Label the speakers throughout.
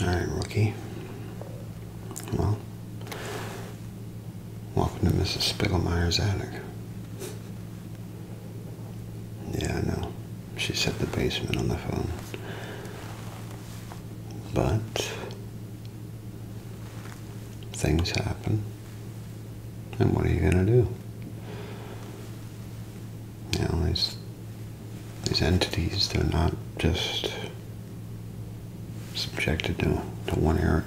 Speaker 1: Alright, rookie. Well, welcome to Mrs. Spiegelmeyer's attic. Yeah, I know. She said the basement on the phone. But things happen. And what are you going to do? you know, these, these entities, they're not just subjected to, to one area.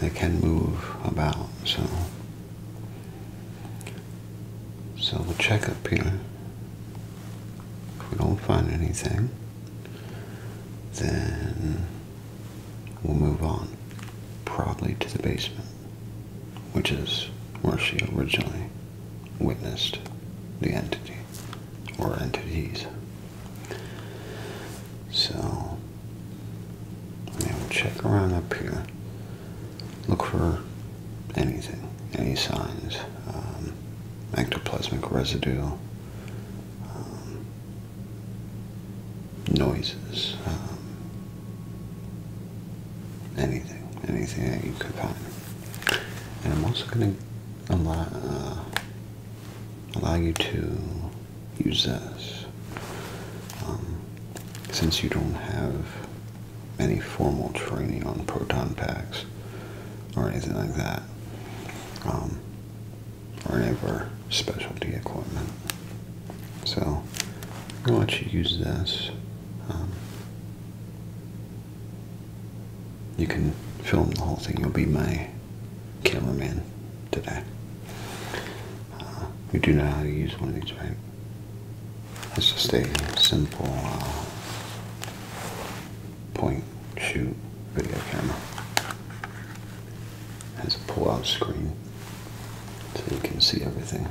Speaker 1: They can move about, so. So we'll check up here. If we don't find anything, then we'll move on, probably to the basement which is where she originally witnessed the entity or entities. So, we'll check around up here, look for anything, any signs, um, ectoplasmic residue, um, noises, um, anything, anything that you could find. And I'm also going to allow, uh, allow you to use this. Um, since you don't have any formal training on proton packs or anything like that, um, or any of our specialty equipment. So, I'm going to let you use this. Um, you can film the whole thing. You'll be my cameraman today. you uh, do know how to use one of these, right? It's just a simple uh, point shoot video camera. It has a pull out screen so you can see everything.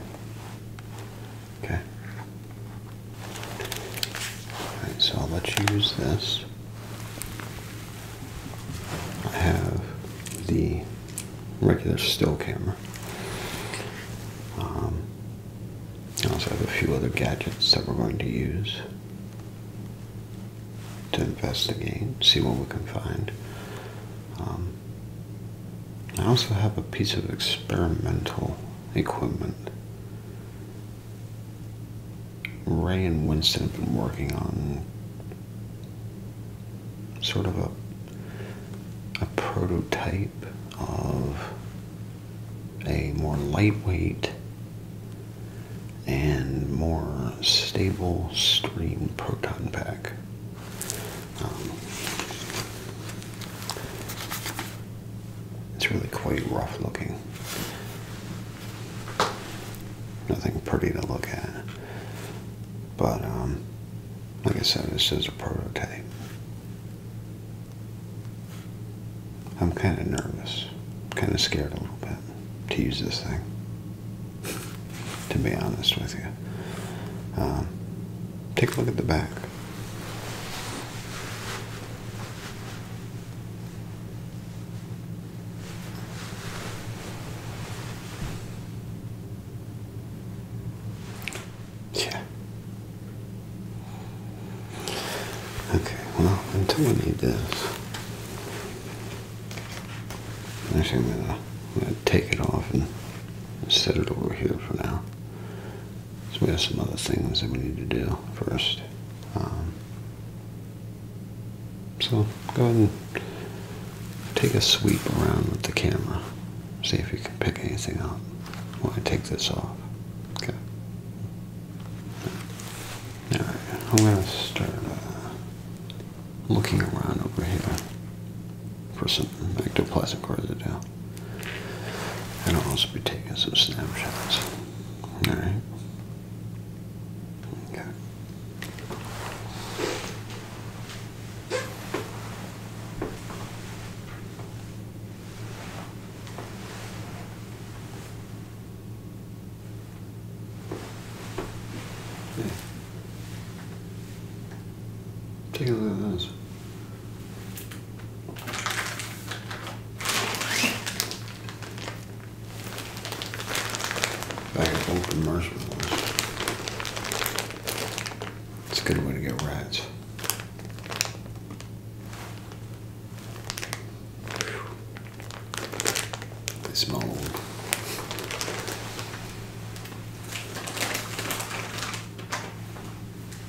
Speaker 1: Okay. Alright, so I'll let you use this. I have the regular still camera. Um, I also have a few other gadgets that we're going to use to investigate, see what we can find. Um, I also have a piece of experimental equipment. Ray and Winston have been working on sort of a a prototype of a more lightweight and more stable stream proton pack. Um, it's really quite rough looking. Nothing pretty to look at. But, um, like I said, this is a prototype. I'm kind of nervous, kind of scared a little bit to use this thing, to be honest with you. Um, take a look at the back. Yeah. Okay, well, until we need this, I'm gonna take it off and set it over here for now. So we have some other things that we need to do first. Um, so go ahead and take a sweep around with the camera. See if you can pick anything up while I take this off. Okay. Alright, I'm going to start uh, looking around over here for some ectoplasm cards to do. And I'll also be taking some snapshots. Alright. Okay. Take a look at this. Back at open merciless. It's a good way to get rats. This mold.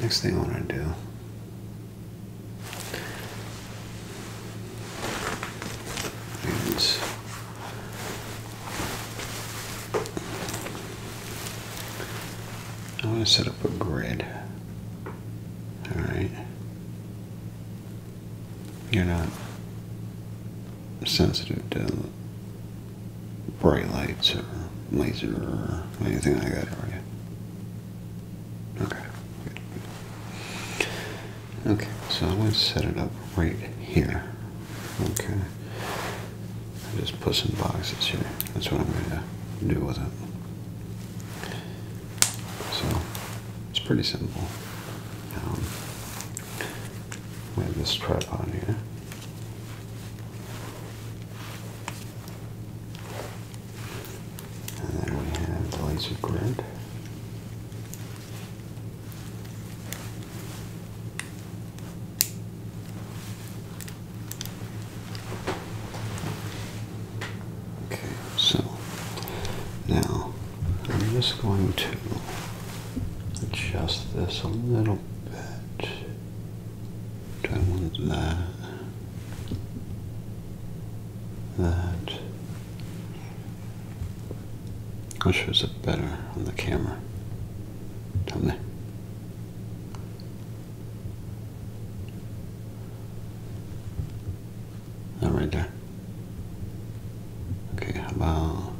Speaker 1: Next thing I want to do is I want to set up a grid. All right. You're not sensitive to bright lights or laser or anything like that, are you? Okay. Okay, so I'm going to set it up right here. Okay. I just put some boxes here. That's what I'm going to do with it. So, it's pretty simple. Um, we have this strap on here. And then we have the laser grid. Okay, so now I'm just going to adjust this a little drop Don't want that. That. i was sure better on the camera. Tell me. That right there. Okay, about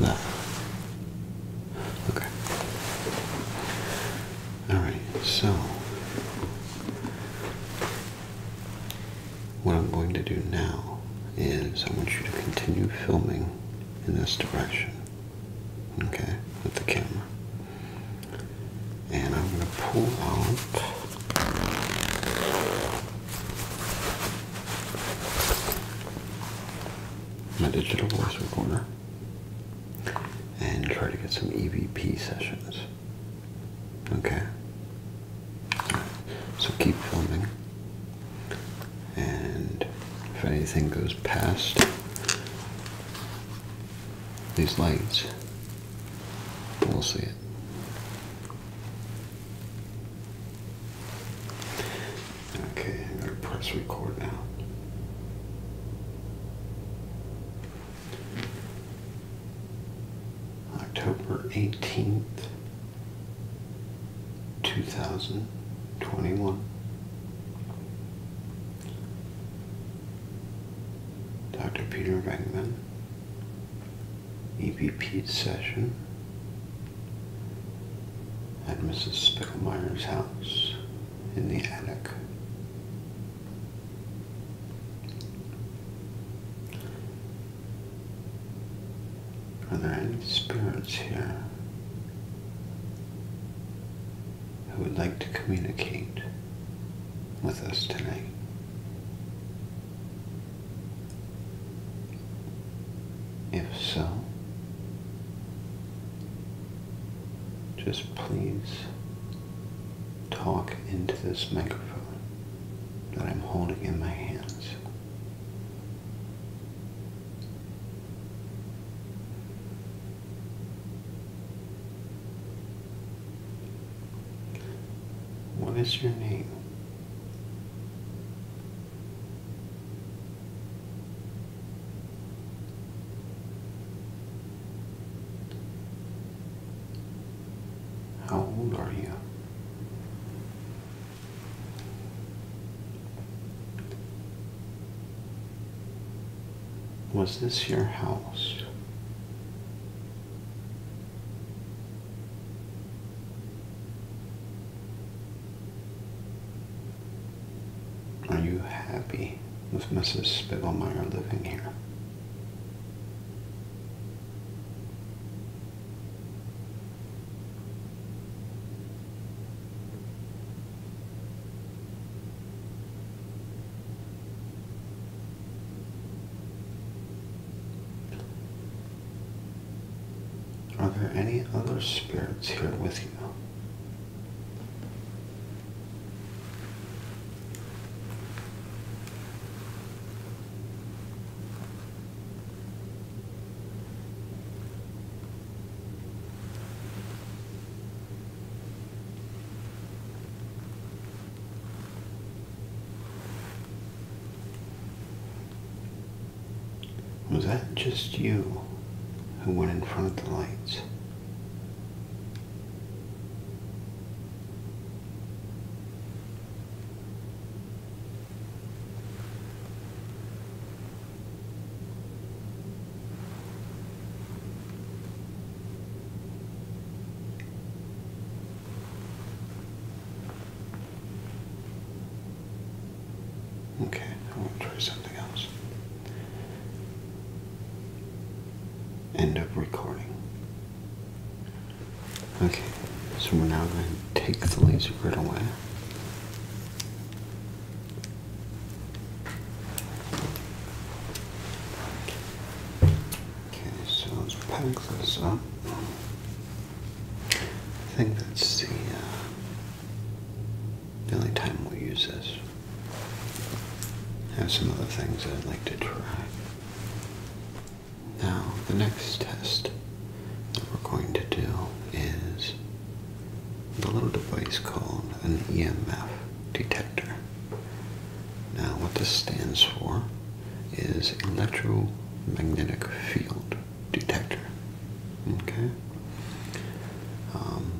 Speaker 1: no. Okay. All right. So what I'm going to do now is I want you to continue filming in this direction. Okay, with the camera. And I'm going to pull out my digital voice recorder and try to get some EVP sessions. Okay? So keep filming. And if anything goes past these lights, we'll see. Okay, I'm going to press record now. October 18th, 2021. Dr. Peter Wegman EVP session at Mrs. Spicklemeyer's house in the attic. Are there any spirits here who would like to communicate with us tonight? If so, just please talk into this microphone that I'm holding in my hands. What is your name? How old are you? Was this your house? Are you happy with Mrs. Spiegelmeyer living here? Are there any other spirits here with you? Was that just you who went in front of the lights? Okay, I will try something else. End up recording. Okay, so we're now going to take the laser grid away. Okay, so let's pack this up. I think that's uh, the, only time we'll use this. I have some other things that I'd like to try. Now, the next test that we're going to do is a little device called an EMF detector. Now, what this stands for is electromagnetic field detector. Okay. Um,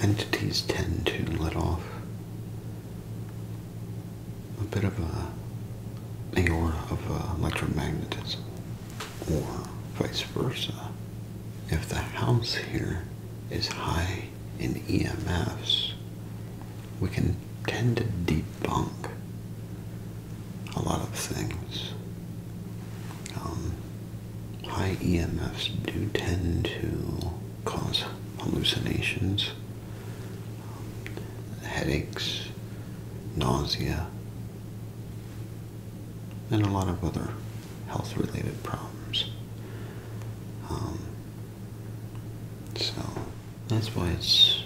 Speaker 1: entities tend to let off a bit of a aura of uh, electromagnetism, or vice versa. If the house here is high in EMFs, we can tend to deep debunk a lot of things. Um, high EMFs do tend to cause hallucinations, um, headaches, nausea, and a lot of other health-related problems. Um, so that's why it's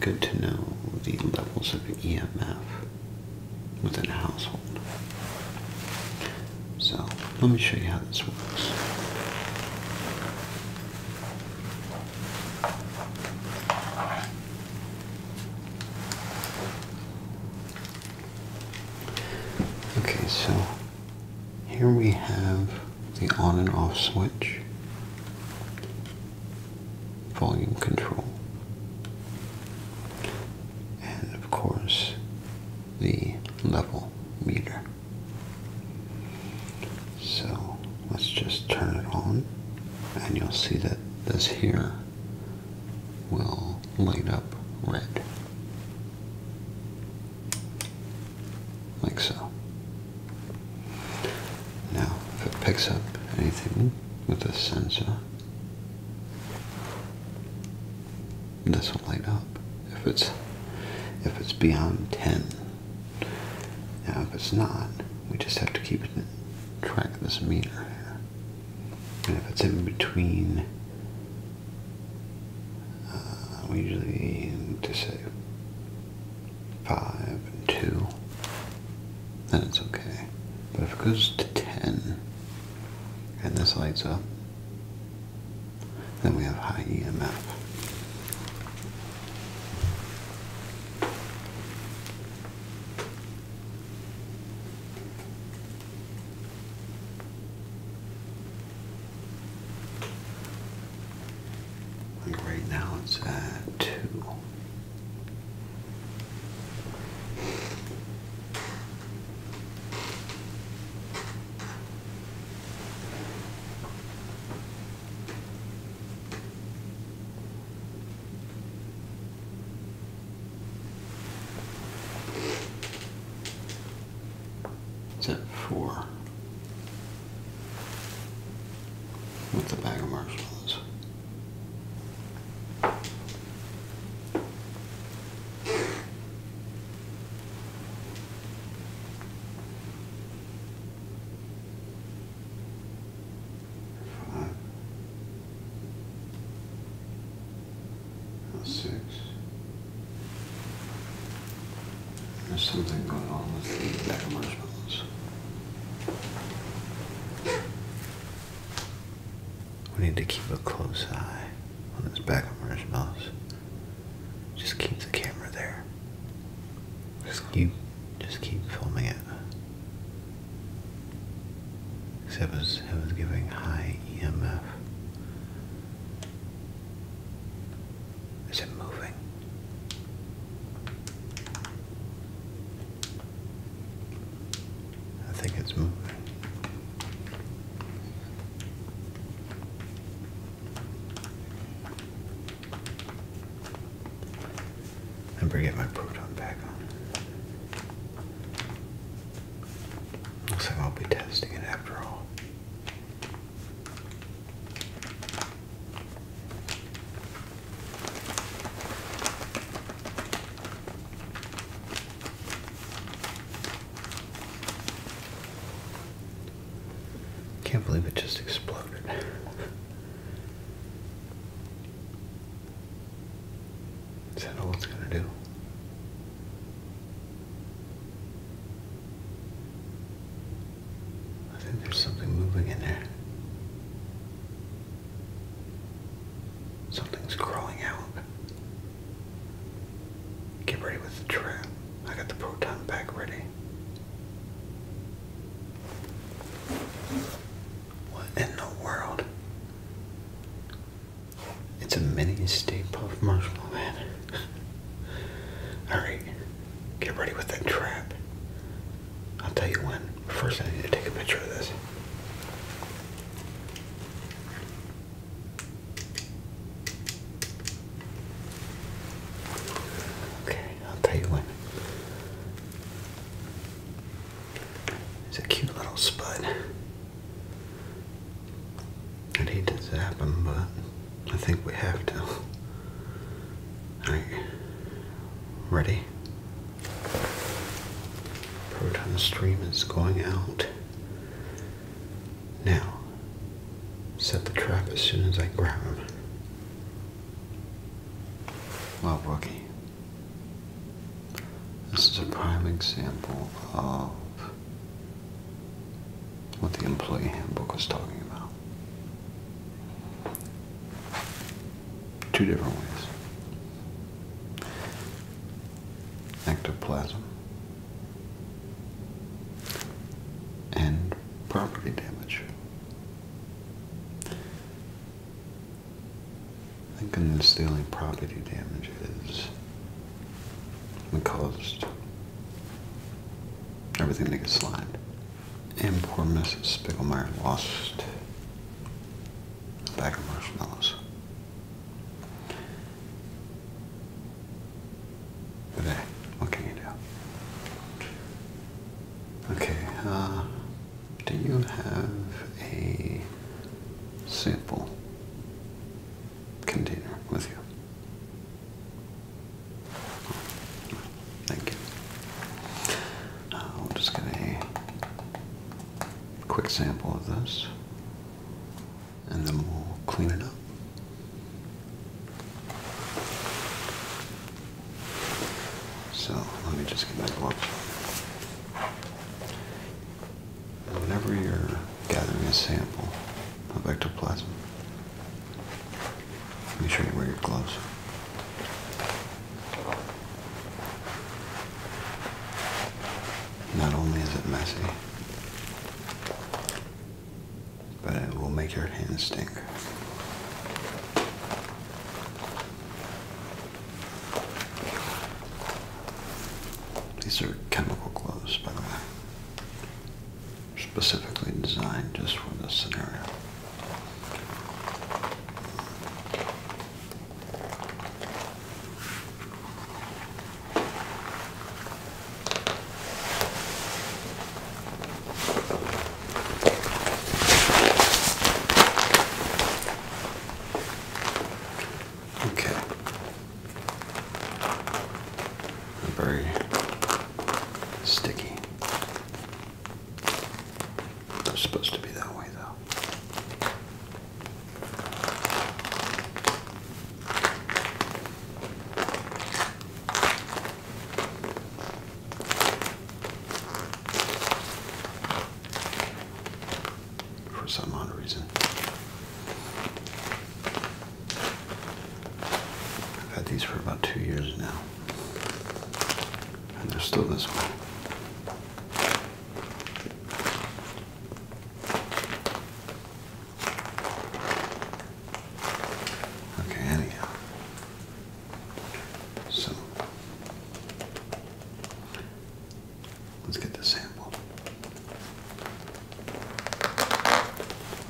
Speaker 1: good to know the levels of EMF within a household. So let me show you how this works. Okay, so here we have the on and off switch, volume control, and of course the level meter. So let's just turn it on and you'll see that this here will light up red like so. Now, if it picks up anything with the sensor, this will light up. If it's if it's beyond 10. Now, if it's not, we just have to keep track of this meter And if it's in between, uh, we usually to say 5 and 2, then it's okay. But if it goes to 10 and this lights up, then we have high EMF right now it's at two. It's at four with the bag of marshmallows. Five. Six. There's something going on with the back of marshmallows. We need to keep a close eye on this back of marshmallows. Just keep the camera there. Just keep, just keep filming it. Except it was, it was giving high EMF. Is it moving? I think it's moving. I better get my proton back on. Looks like I'll be testing it after all. Can't believe it just exploded. Is that all it's going to do? I think there's something moving in there. Something's crawling out. Get ready with the trap. I got the proton pack ready. What in the world? It's a mini Stay Puff Marshmallow Man. Alright, get ready with that trap. I'll tell you when. First, I need to take a picture of this. Okay, I'll tell you when. It's a cute little spud. I need to zap him, but I think we have to. Alright. Ready? Proton stream is going out. Now, set the trap as soon as I grab him. Well, rookie, this is a prime example of what the employee handbook was talking about. Two different ways. Ectoplasm and property damage. I think in this property damage is caused everything to get slimed. And poor Mrs. Spiegelmeyer lost a bag of marshmallows. But eh, what can you do? Okay, uh, do you have a sample container with you? Thank you. Uh, I'll just get a quick sample of this and then we'll clean it up. So let me just get my gloves. Whenever you're gathering a sample of ectoplasm, Make sure you wear your gloves. Not only is it messy, but it will make your hands stink. These are chemical gloves, by the way specifically designed just for this scenario. Okay very sticky. supposed to be that way though. For some odd reason. I've had these for about two years now. And they're still this way. Okay, anyhow. So let's get the sample.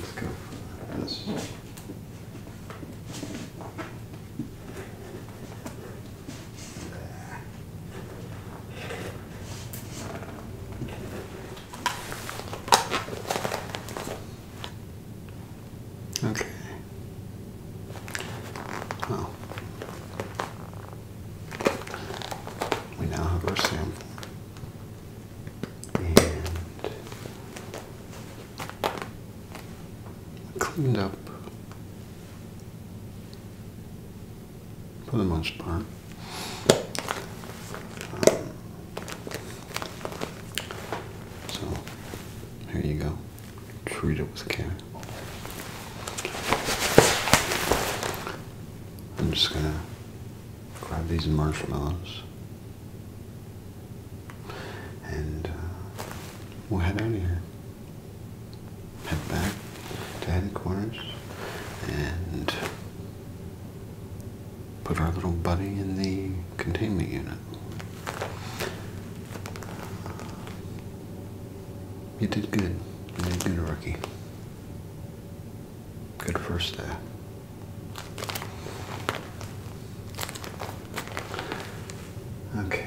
Speaker 1: Let's go for this. Okay. Well, we now have our sample and cleaned up for the most part. Um, so here you go. Treat it with care. I'm just gonna grab these marshmallows and uh, we'll head out of here. Head back to headquarters and put our little buddy in the containment unit. You did good. You did good, rookie. Good first day. Okay.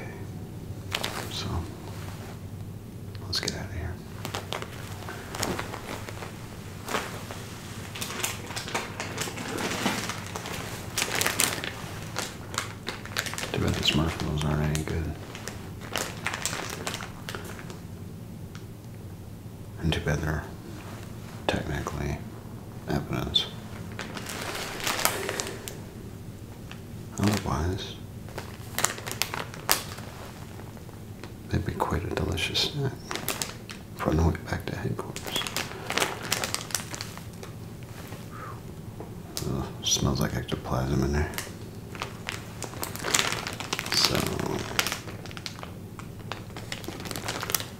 Speaker 1: So, let's get out of here. Too bad the Smurfs aren't any good into better technically evidence. Otherwise, they'd be quite a delicious snack for the way back to headquarters. smells like ectoplasm in there. So,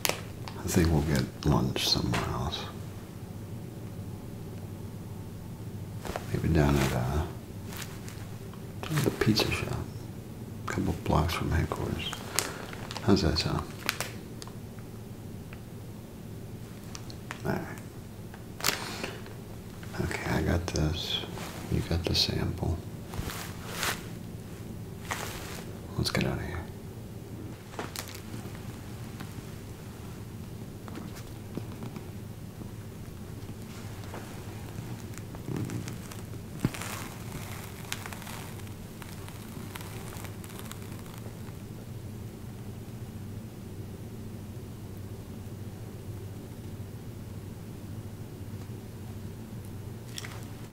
Speaker 1: I think we'll get lunch somewhere else. Maybe down at uh, the pizza shop, a couple blocks from headquarters. How's that sound? All right. Okay, I got this. You got the sample. Let's get out of here.